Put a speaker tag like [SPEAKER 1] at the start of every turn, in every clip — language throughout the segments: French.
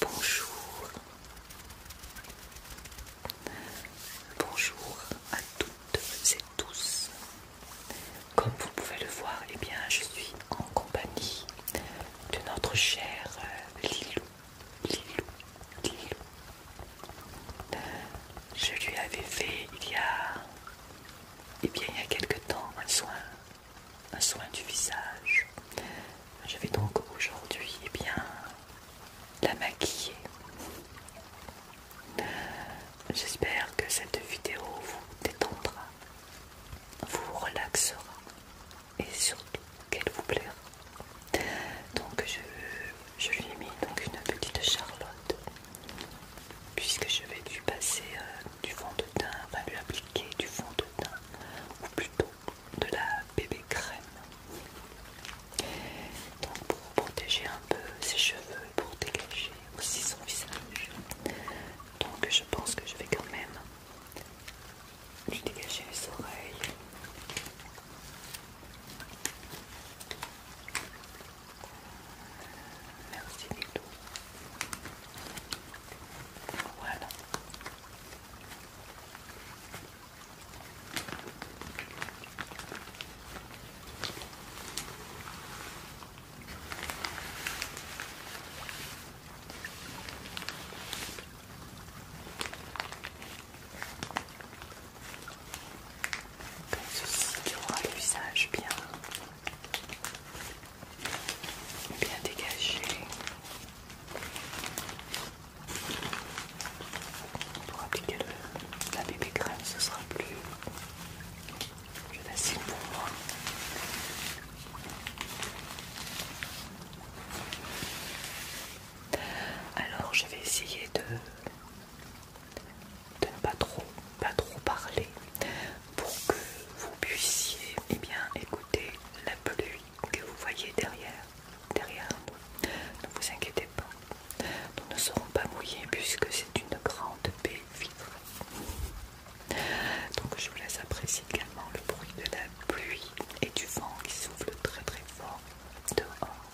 [SPEAKER 1] Bonjour. Bonjour à toutes et tous. Comme vous pouvez le voir, eh bien, je suis en compagnie de notre cher euh, Lilou. Lilou. Je lui avais fait il y a, eh bien, il y a quelque temps un soin un soin du visage. Je vais donc aujourd'hui eh bien la maquiller. J'espère que cette vidéo vous détendra, vous relaxera et surtout qu'elle vous plaira. Donc je, je lui ai mis donc une petite charlotte puisque je vais lui passer euh, du fond de teint, lui appliquer du fond de teint ou plutôt de la bébé crème. pour protéger un peu ses cheveux et pour dégager aussi son visage. Donc je pense que je vais quand même lui dégager les oreilles. Merci Lilo. Voilà. ceci l'usage bien bien dégagé pour appliquer la bébé crème ce sera plus facile pour moi alors je vais essayer de, ne pas trop, pas trop parler pour que vous puissiez eh bien, écouter la pluie que vous voyez derrière, derrière Ne vous inquiétez pas, nous ne serons pas mouillés puisque c'est une grande baie vitrée. Donc je vous laisse apprécier également le bruit de la pluie et du vent qui souffle très très fort dehors.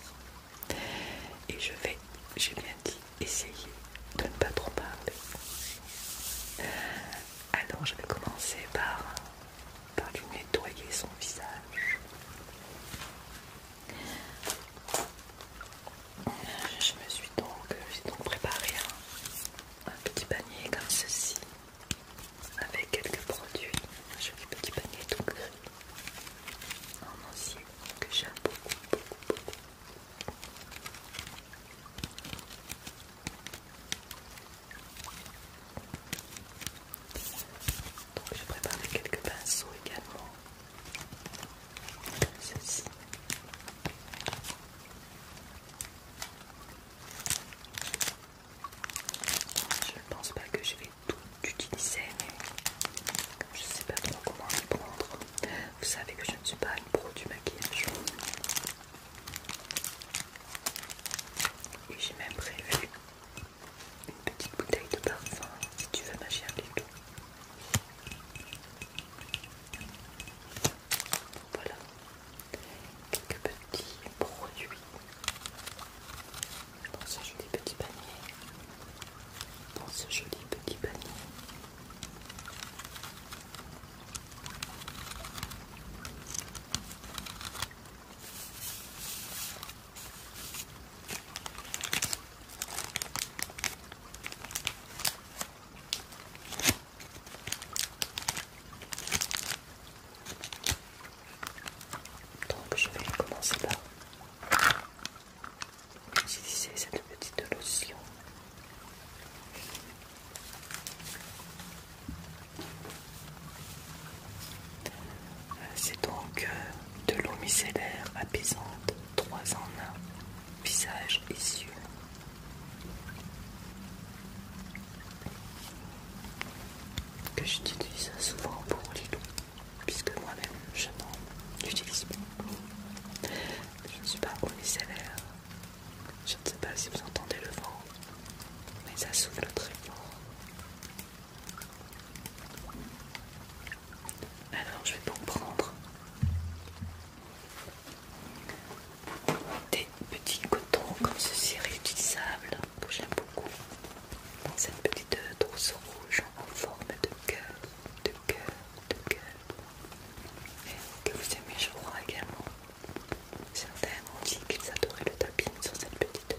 [SPEAKER 1] Et je vais, j'ai bien dit, essayer de ne pas trop parler. Alors je vais commencer par, lui nettoyer son visage. Je me suis donc, préparé un, petit panier comme ceci avec quelques produits. Un joli petit panier tout gris en que j'aime beaucoup, beaucoup, beaucoup. Donc j'ai préparé quelques pinceaux également. Je ne pense pas que je vais tout utiliser, mais je ne sais pas trop comment les prendre. Vous savez que je ne suis pas une pro du maquillage. Et j'ai même prévu une petite bouteille de parfum si tu veux ma avec. tout. Voilà quelques petits produits. Dans ce joli petit panier. Dans ce joli petit panier. Donc je vais commencer par utiliser cette petite lotion euh, c'est donc euh, de l'eau micellaire apaisante, trois en un, visage et yeux Que j'utilise souvent pour les loups, puisque moi-même je n'en utilise pas. Je ne suis pas au micellaire. Je ne sais pas si vous entendez le vent, mais ça souffle très fort. Alors je vais donc prendre des petits cotons comme ceci réutilisables que j'aime beaucoup. cette petite euh, trousse rouge en forme de cœur, de cœur, de cœur. Et que vous aimez je crois également. Certains ont dit qu'ils adoraient le tapping sur cette petite danse.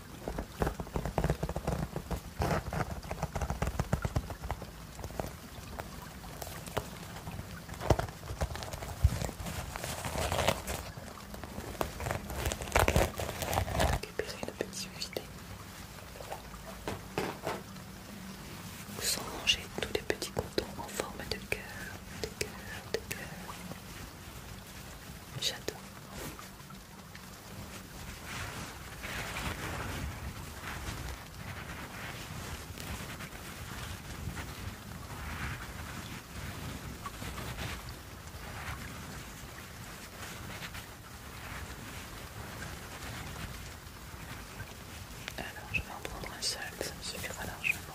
[SPEAKER 1] récupérer le petit filet Sans manger tous les petits cotons en forme de cœur, de cœur, de cœur. J'adore. Alors je vais en prendre un seul, ça me suffira largement.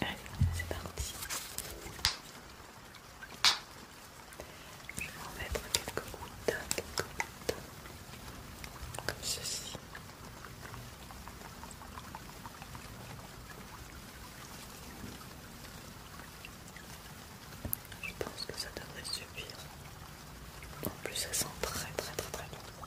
[SPEAKER 1] Allez, c'est parti. Je vais en mettre quelques gouttes, quelques gouttes, comme ceci. Je pense que ça devrait suffire. En plus, ça sent très très très très bon.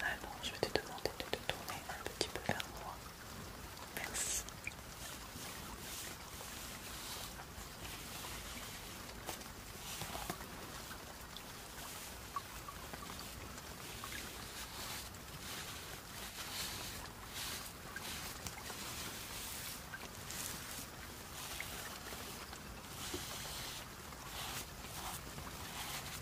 [SPEAKER 1] Alors, ah je vais te demander de te tourner un petit peu vers moi. Merci.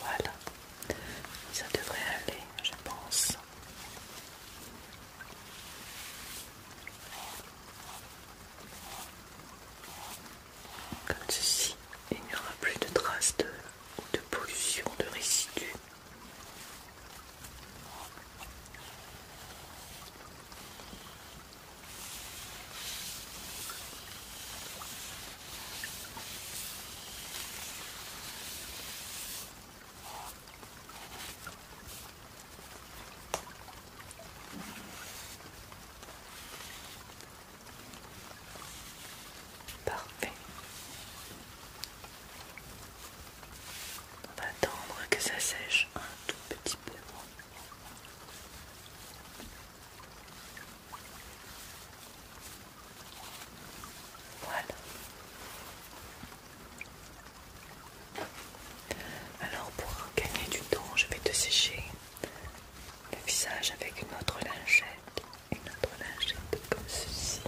[SPEAKER 1] Voilà, ça devrait aller, je pense. Comme ceci, il n'y aura plus de traces de, de pollution, de résidus. Parfait. On va attendre que ça sèche un tout petit peu. Voilà. Alors pour gagner du temps, je vais te sécher le visage avec une autre lingette, une autre lingette comme ceci.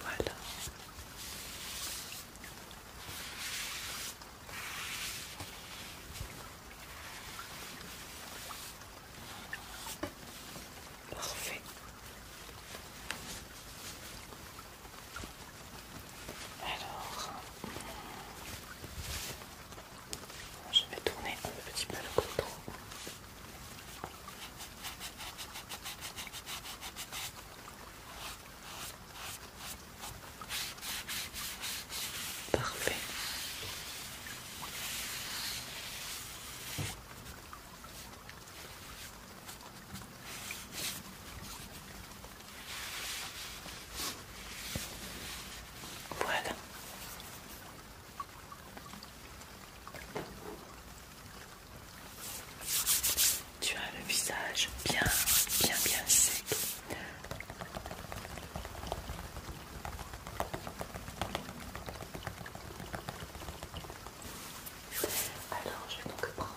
[SPEAKER 1] Voilà. Parfait. Alors, je vais tourner un petit peu le coton. Parfait. Voilà. Tu as le visage bien, bien, bien sec. Alors, je vais donc prendre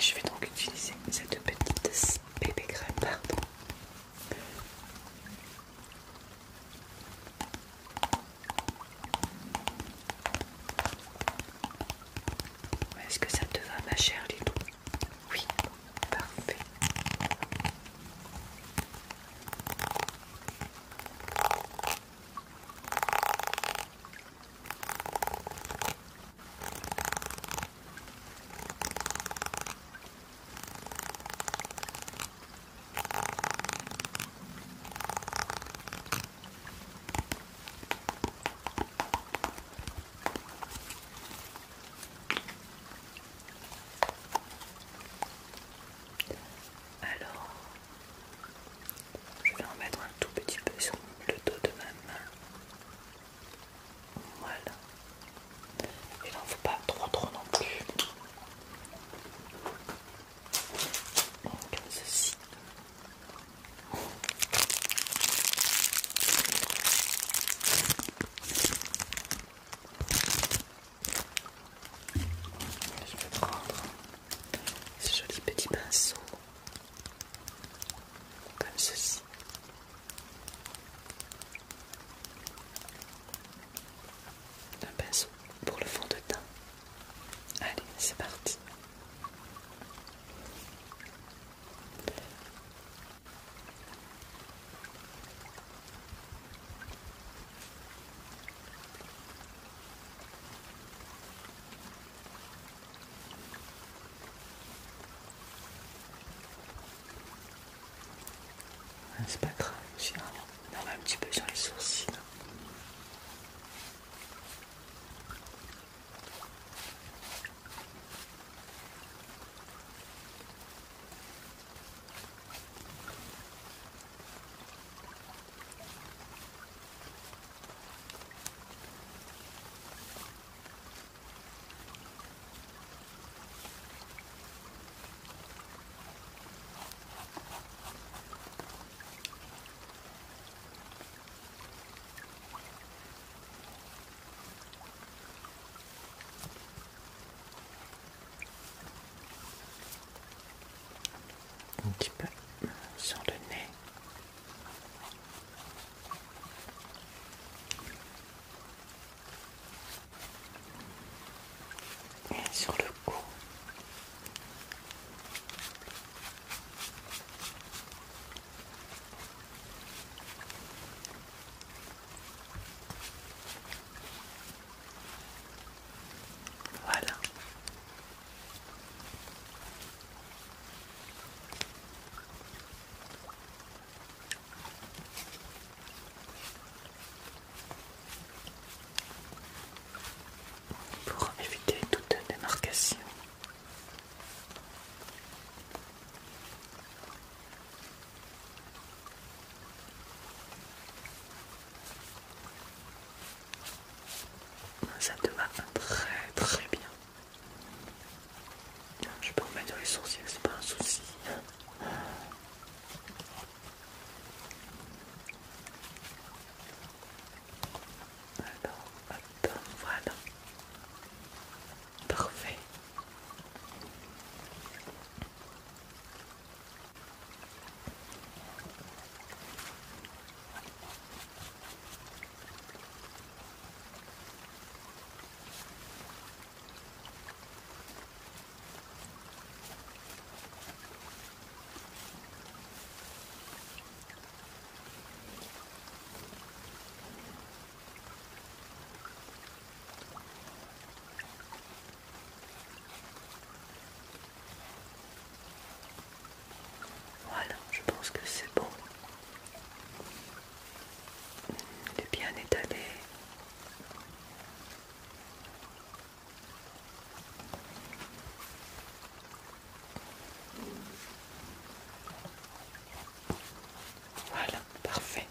[SPEAKER 1] je vais donc utiliser cette petite bébé crème, pardon. Est-ce que ça te va ma chère Lidou Oui, parfait. Alors, je vais en mettre un tout petit peu sur le dos de ma main voilà. Il ne faut pas trop trop non plus. Je vais prendre ce joli petit pinceau comme ceci. Un pinceau pour le fond de teint. Allez, c'est parti. Ah, c'est pas grave, généralement. Hein. On va un petit peu sur les sourcils un petit peu sur le nez. Et sur le cou. Voilà pour éviter toute démarcation. Ça te va très très bien. Je peux remettre les sourcils, c'est pas un souci. Attends, hop, voilà. Parfait. Voilà, je pense que c'est bon de bien étalé. Voilà, parfait.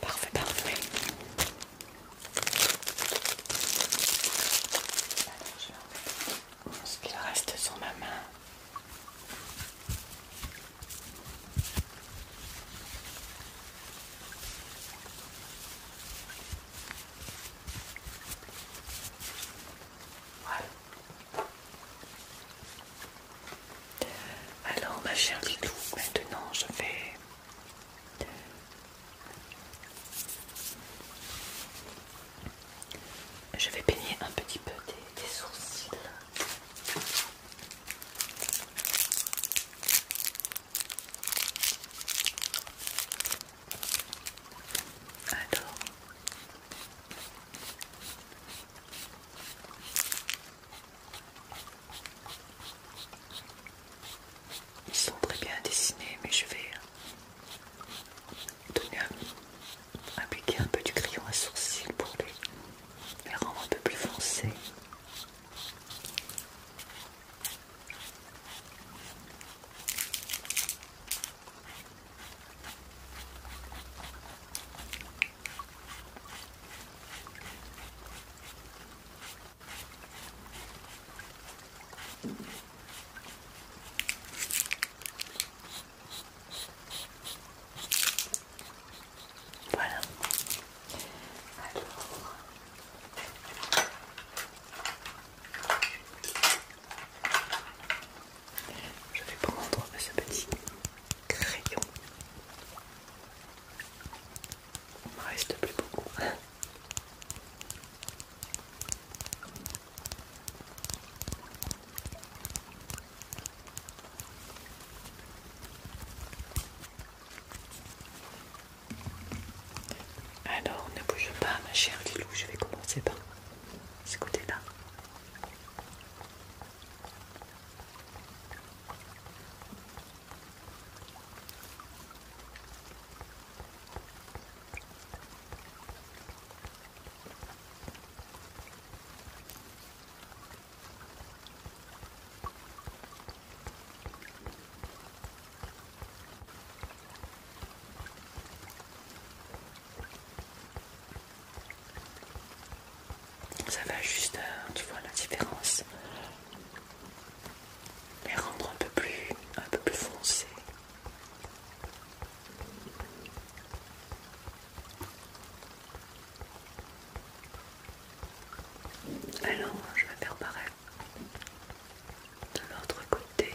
[SPEAKER 1] Parfait, parfait je vais ce qu'il reste sur ma main. Voilà. Alors, ma chère tout, maintenant je vais je vais peigner un petit peu des, sourcils. Ils sont très bien dessinés, mais je vais euh, donner un, appliquer un peu du crayon à sourcils pour lui les rendre un peu plus foncés. Voilà. Alors. Je vais prendre ce petit crayon. Il ne me reste plus beaucoup. Alors ne bouge pas ma chère Lilou, je vais commencer par ce côté-là. Ça va juste, euh, tu vois la différence. Les rendre un peu plus, un peu plus foncé. Alors, je vais faire pareil de l'autre côté.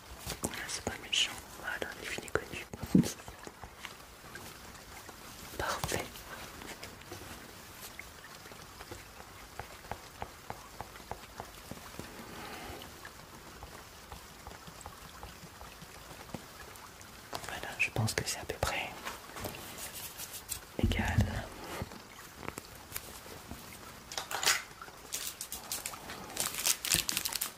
[SPEAKER 1] Ah, c'est pas méchant. Voilà, les filles connu. Parfait. Voilà, je pense que c'est à peu près égal.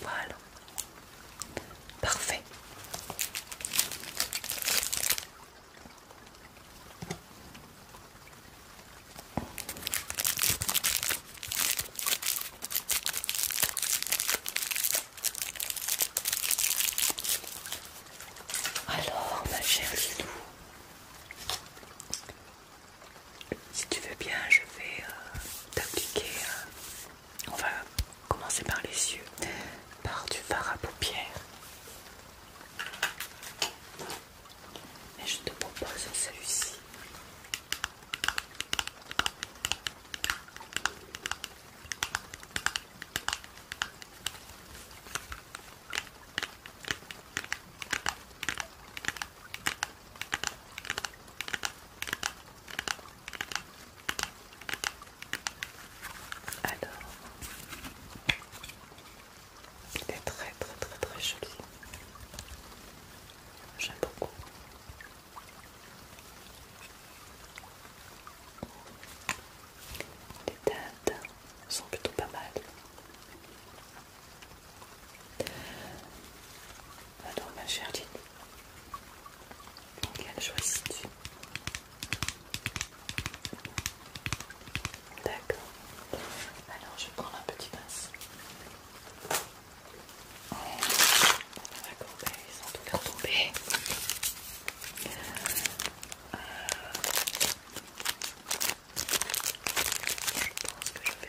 [SPEAKER 1] Voilà. Parfait. Alors, ma chère Loulou, si tu veux bien, je vais euh, t'appliquer. Euh, on va commencer par les yeux, par du fard à paupières. et je te propose celui-ci. Alors, il est très très très très joli. J'aime beaucoup. Les teintes sont plutôt pas mal. Alors ah ma chère Lily, quelle choisis-tu D'accord. Alors je prends un petit pinceau. D'accord, ben, ils sont tous l'air tombés. Euh, je pense que je vais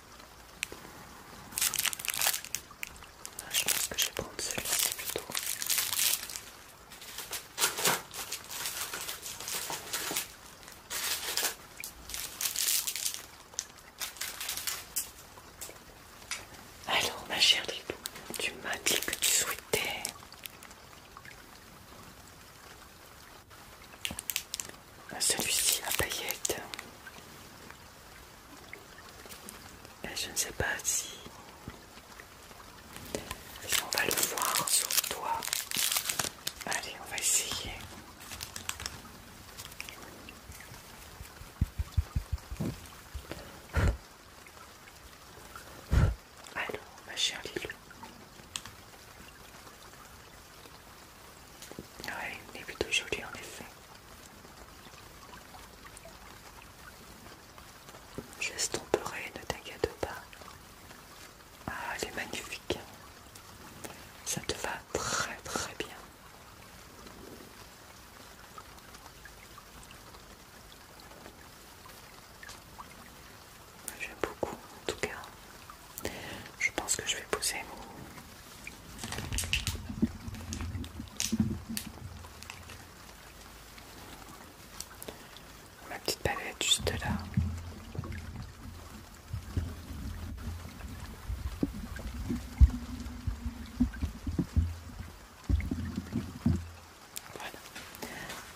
[SPEAKER 1] Ah, je pense que je vais prendre celui-ci plutôt. Alors, ma chère Lilou, tu m'as dit que tu souhaitais ah, celui-ci à paillettes. Euh, je ne sais pas si, on va le voir sur le toi. Allez, on va essayer. Allô, ma chère Lilou. Ouais, il est plutôt joli en effet. J'estomperai, ne t'inquiète pas. Ah, elle est magnifique. Ça te va très très bien. J'aime beaucoup en tout cas. Je pense que je vais poser Ma petite palette juste là. Voilà.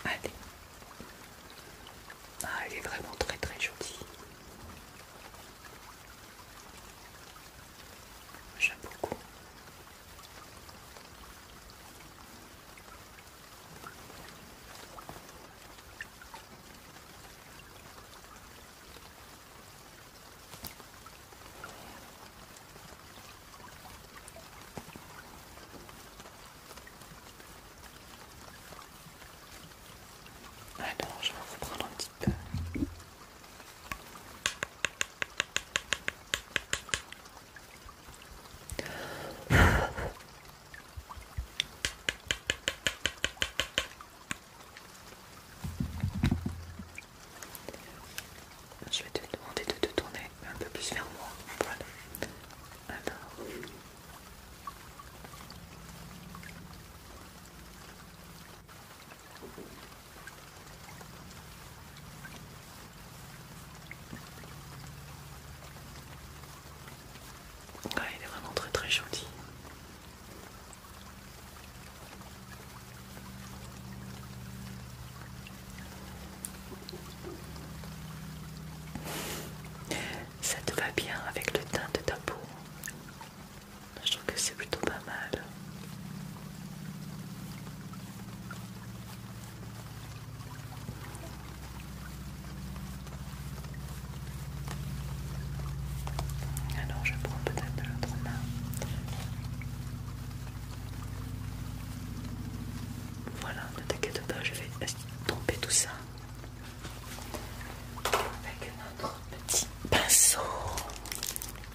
[SPEAKER 1] Allez. Ah, elle est vraiment très très jolie. J'aime beaucoup. Alors, je vais reprendre un petit peu. Je vais te demander de te tourner un peu plus vers moi il est vraiment très très joli. Ça te va bien avec le teint de ta peau. Bah, je trouve que c'est plutôt pas mal. Alors je prends peut-être de l'autre main. Voilà, ne t'inquiète pas, je vais tromper tout ça avec notre petit pinceau.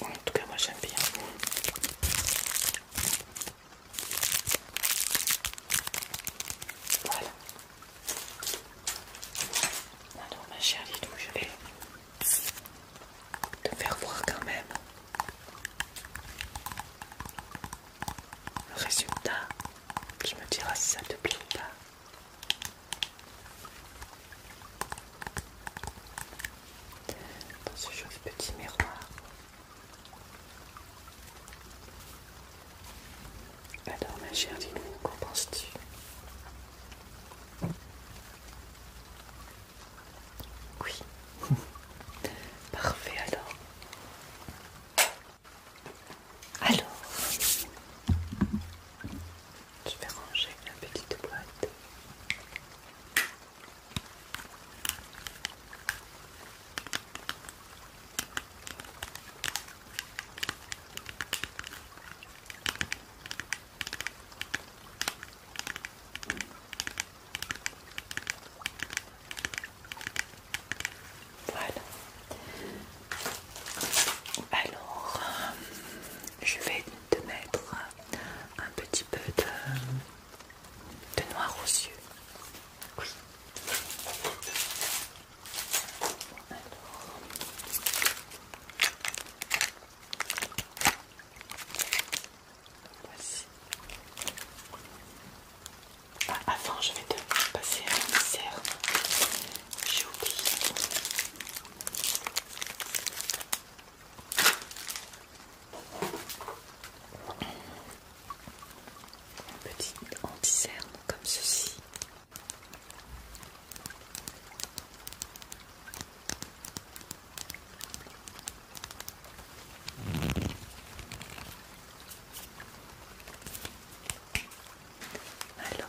[SPEAKER 1] En tout cas, moi j'aime bien. Voilà. ma chère Lidou, je vais te faire voir quand même le résultat. Je me diras si ça te plaît ou pas dans ce joli petit miroir. Alors ma chère dis-nous, qu'en penses-tu Oui. Parfait alors. Alors, je vais ranger la petite boîte. Voilà. Alors, euh, je vais de mettre un petit peu de, noir aux yeux. Oui. avant, je vais te passer un dessert. J'ai oublié. Petit petite anti comme ceci. Alors,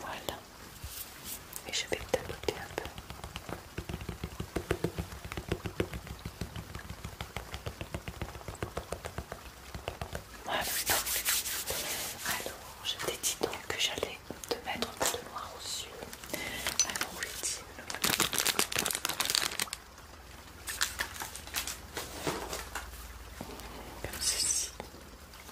[SPEAKER 1] Voilà. Et je vais tapoter un peu. Voilà. Alors, je t'ai dit donc que j'allais te mettre un peu de noir aux yeux. Alors, oui, comme ceci.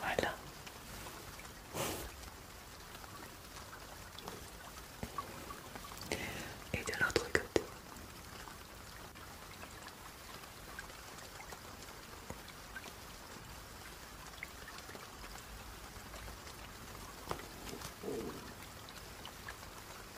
[SPEAKER 1] Voilà. Et de l'autre côté.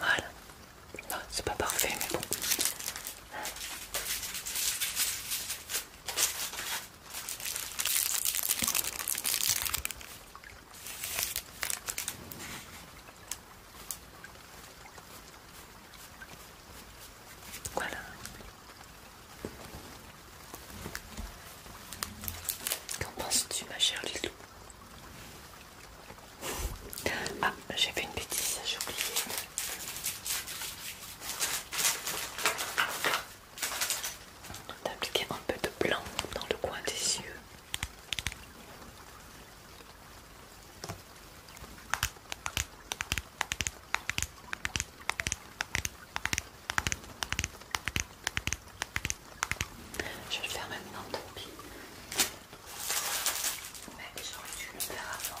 [SPEAKER 1] Voilà. c'est pas parfait, mais bon. Voilà. Qu'en penses-tu, ma chère Lilou Ah, j'ai fait une bêtise, j'ai oublié. D'appliquer un peu de blanc dans le coin des yeux. Je vais le faire maintenant, tant pis. Mais j'aurais dû le faire avant.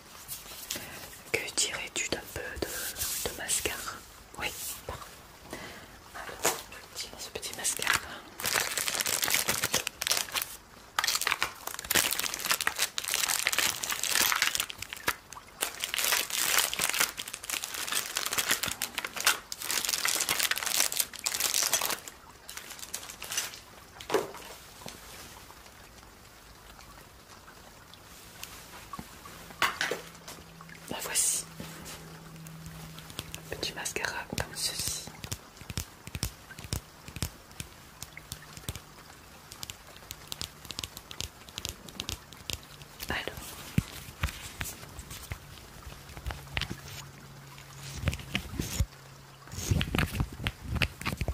[SPEAKER 1] Que dirais-tu d'un peu de, mascara Oui, alors, je tire ce petit mascara. Voici voici. Petit mascara comme ceci.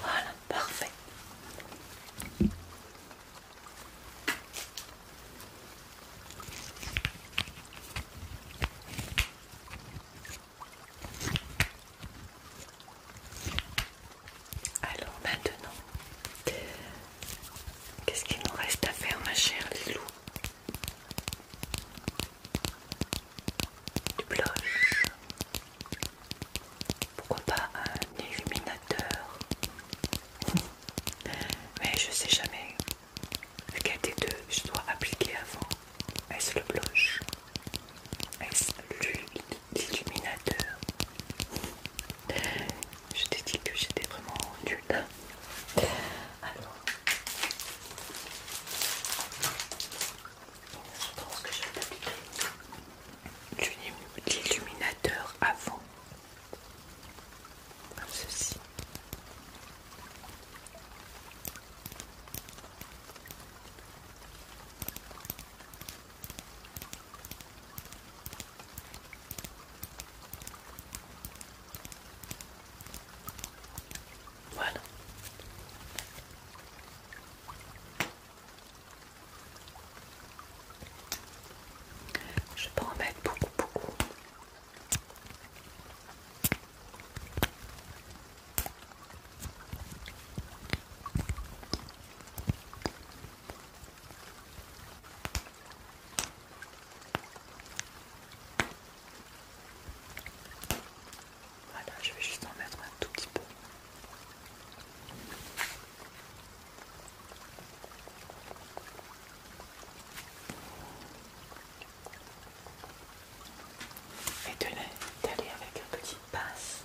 [SPEAKER 1] Voilà, parfait. Allons maintenant, Qu'est-ce qu'il nous reste à faire, ma chère Lilou Du blush. Pourquoi pas un illuminateur Mais je sais jamais lequel des deux je dois appliquer avant. Est-ce le blush Est-ce l'illuminateur je t'ai dit que j'étais vraiment nulle. Alors, je pense que je vais appliquer l'illuminateur avant, comme ceci. Voilà. Je peux en mettre beaucoup, beaucoup. Voilà, je vais juste en mettre un tout petit peu. Et de d'aller avec un petit passe.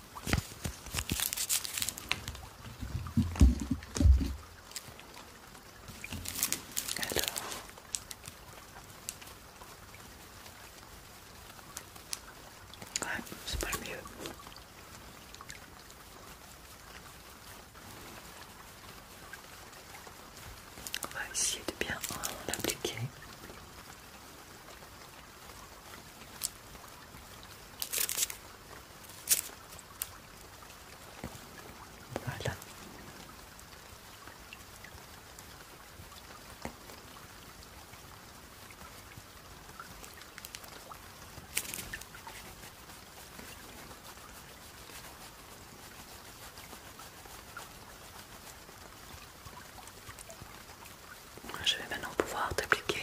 [SPEAKER 1] Alors. Ouais, c'est pas le mieux. On va essayer de bien l'appliquer. Voilà. Je vais maintenant pouvoir t'appliquer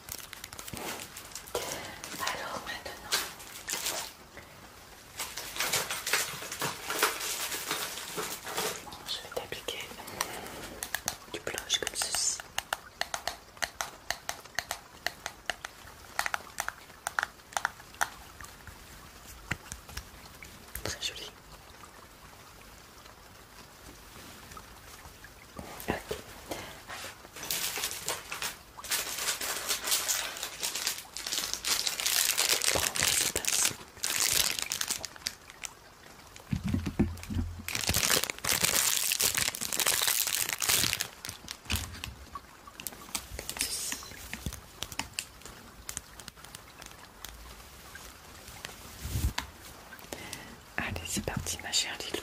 [SPEAKER 1] Alors maintenant, je vais t'appliquer du blush comme ceci. Très joli. Allez, c'est parti ma chère Lilou.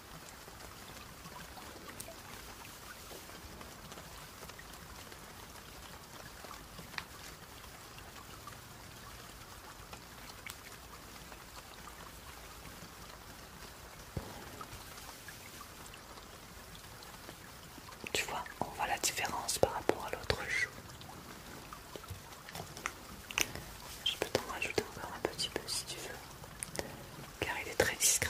[SPEAKER 1] Tu vois, on voit la différence par rapport à l'autre jour. Je peux t'en rajouter encore un petit peu si tu veux, car il est très discret.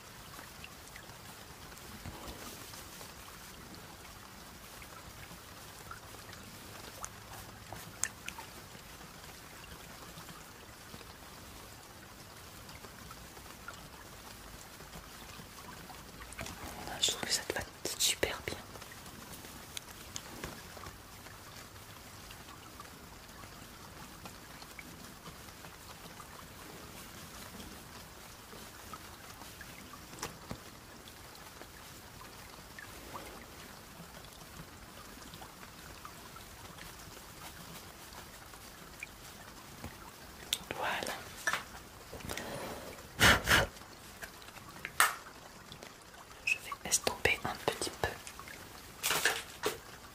[SPEAKER 1] Je trouve que ça te va super bien. Voilà. Je vais estomper un petit peu.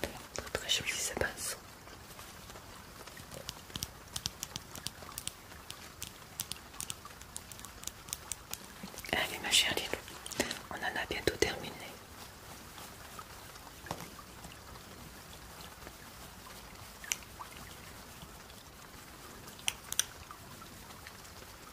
[SPEAKER 1] Très très joli ces passe. Allez ma chère Lilou, on en a bientôt terminé.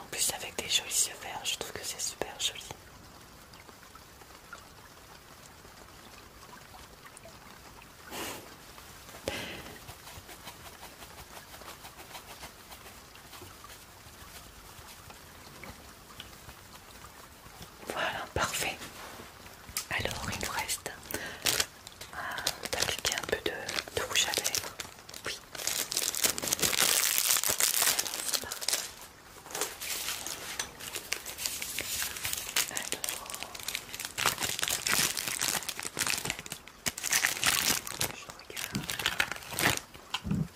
[SPEAKER 1] En plus avec des jolis yeux verts, je trouve que c'est super joli. Voilà, parfait. Alors, il nous reste d'appliquer un peu de, rouge à lèvres. Oui. Alors, je regarde.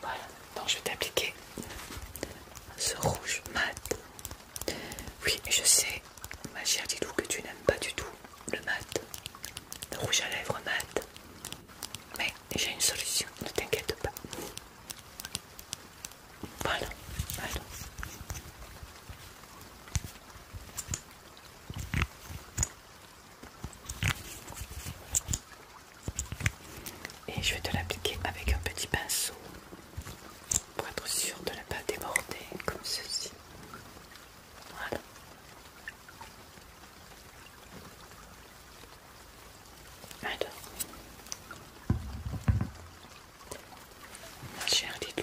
[SPEAKER 1] Voilà, donc je vais t'appliquer ce rouge mat. Oui, je sais, ma chère Didou, que tu n'aimes pas du tout le mat, le rouge à lèvres mat. Mais j'ai une solution, ne t'inquiète pas. Voilà, alors. Et je vais te l'appliquer avec un petit pinceau pour être sûr de ne pas déborder comme ceci. Voilà. Alors, j'ai un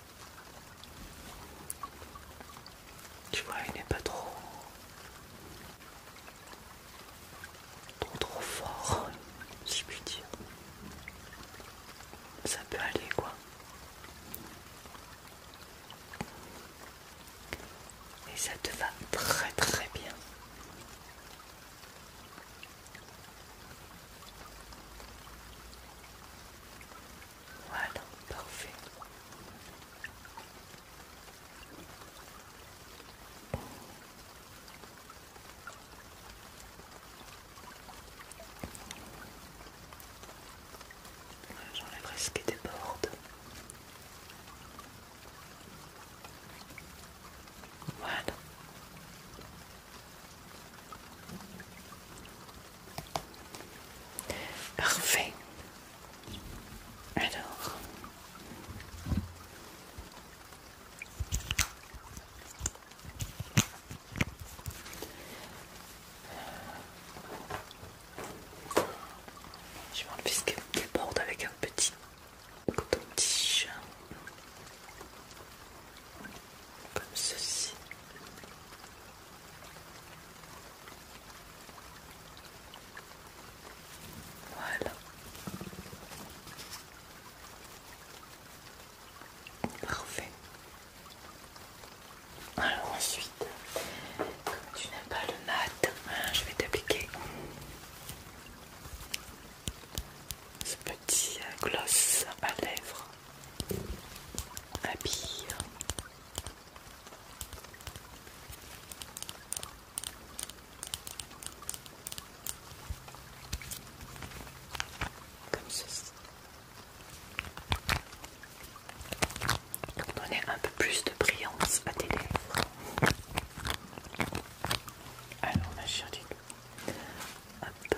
[SPEAKER 1] Tu vois, il n'est pas trop... trop trop fort, si je puis dire. Ça peut aller, quoi. Et ça te va très très bien. Voilà, parfait. J'enlèverai ce qui déborde. Voilà. Parfait. Alors. Je vais enlever ce qu'elle déborde avec un petit coton-tige comme ceci. Voilà. Parfait. Alors ensuite, comme tu n'aimes pas le mat, hein, je vais t'appliquer ce petit euh, gloss à lèvres à pire. Comme ceci. Pour donner un peu plus de brillance à tes lèvres. Alors ma chérie, hop,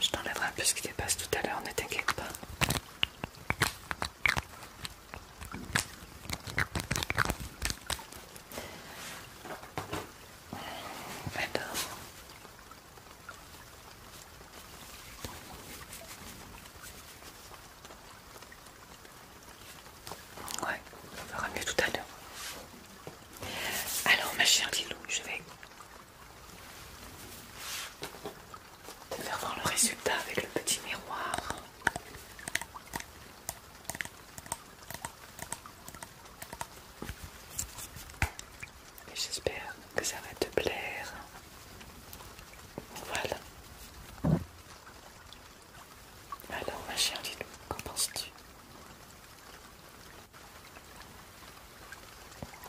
[SPEAKER 1] Je t'enlèverai un peu ce qui dépasse tout à l'heure, ne t'inquiète pas. Ouais, on verra mieux tout à l'heure. Alors ma chère Lilou, je vais te faire voir le résultat avec le petit miroir. J'espère que ça va te plaire. Voilà. Alors ma chère Lilou, qu'en penses-tu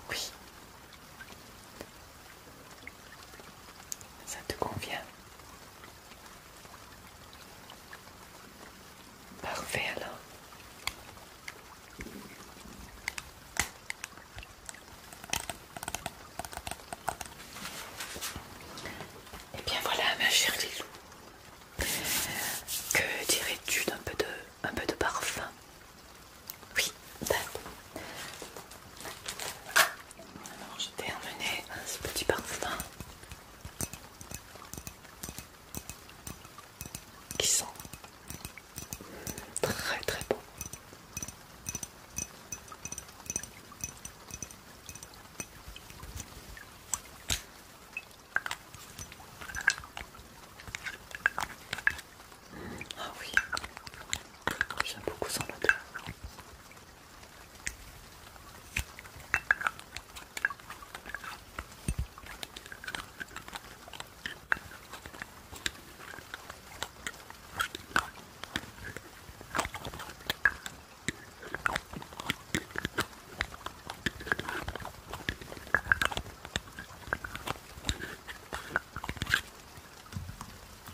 [SPEAKER 1] oui. Ça te convient Parfait alors. Et eh bien voilà ma chère Lilou Que dirais-tu d'un peu de un peu de parfum. Oui, Alors je t'ai emmené ce petit parfum qui sent très très bon. Ah oui, j'aime beaucoup son odeur.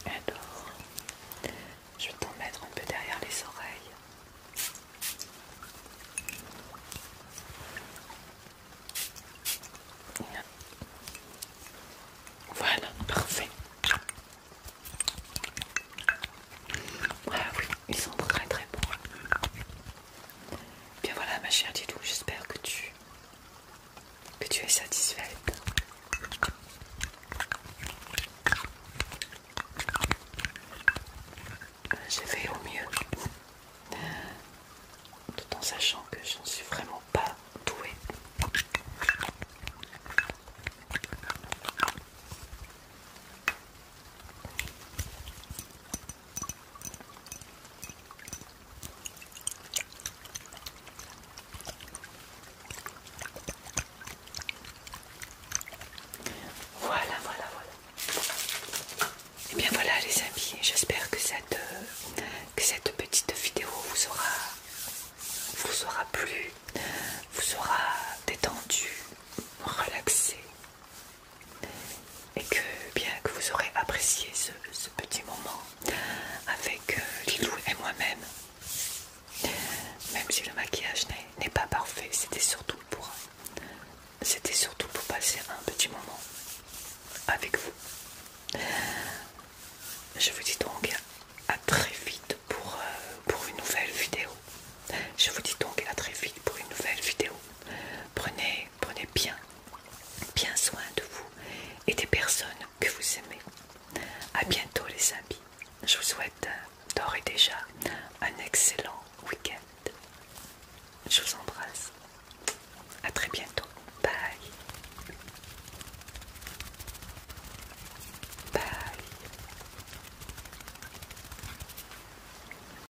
[SPEAKER 1] Alors, je vais t'en mettre un peu derrière les oreilles. Voilà, parfait. Ah oui, ils sont très très bons. Bien voilà ma chère Didou, j'espère que tu que tu es satisfaite. J'ai fait au mieux, tout en sachant que je ne suis vraiment pas douée. Voilà, voilà, voilà. Et eh bien voilà les amis, j'espère que cette, euh, que cette petite vidéo vous aura, vous aura plu, vous aura détendu, relaxé, et que bien que vous aurez apprécié ce, petit moment avec euh, Lilou et moi-même, même si le maquillage n'est pas parfait, c'était surtout pour c'était surtout pour passer un petit moment avec vous. Je vous dis donc à très vite pour, euh, pour une nouvelle vidéo. Je vous dis donc à très vite pour une nouvelle vidéo. Prenez, prenez bien, bien soin de vous et des personnes que vous aimez. A bientôt les amis. Je vous souhaite euh, d'ores et déjà un excellent week-end. Je vous embrasse. A très bientôt. Bye. Bye.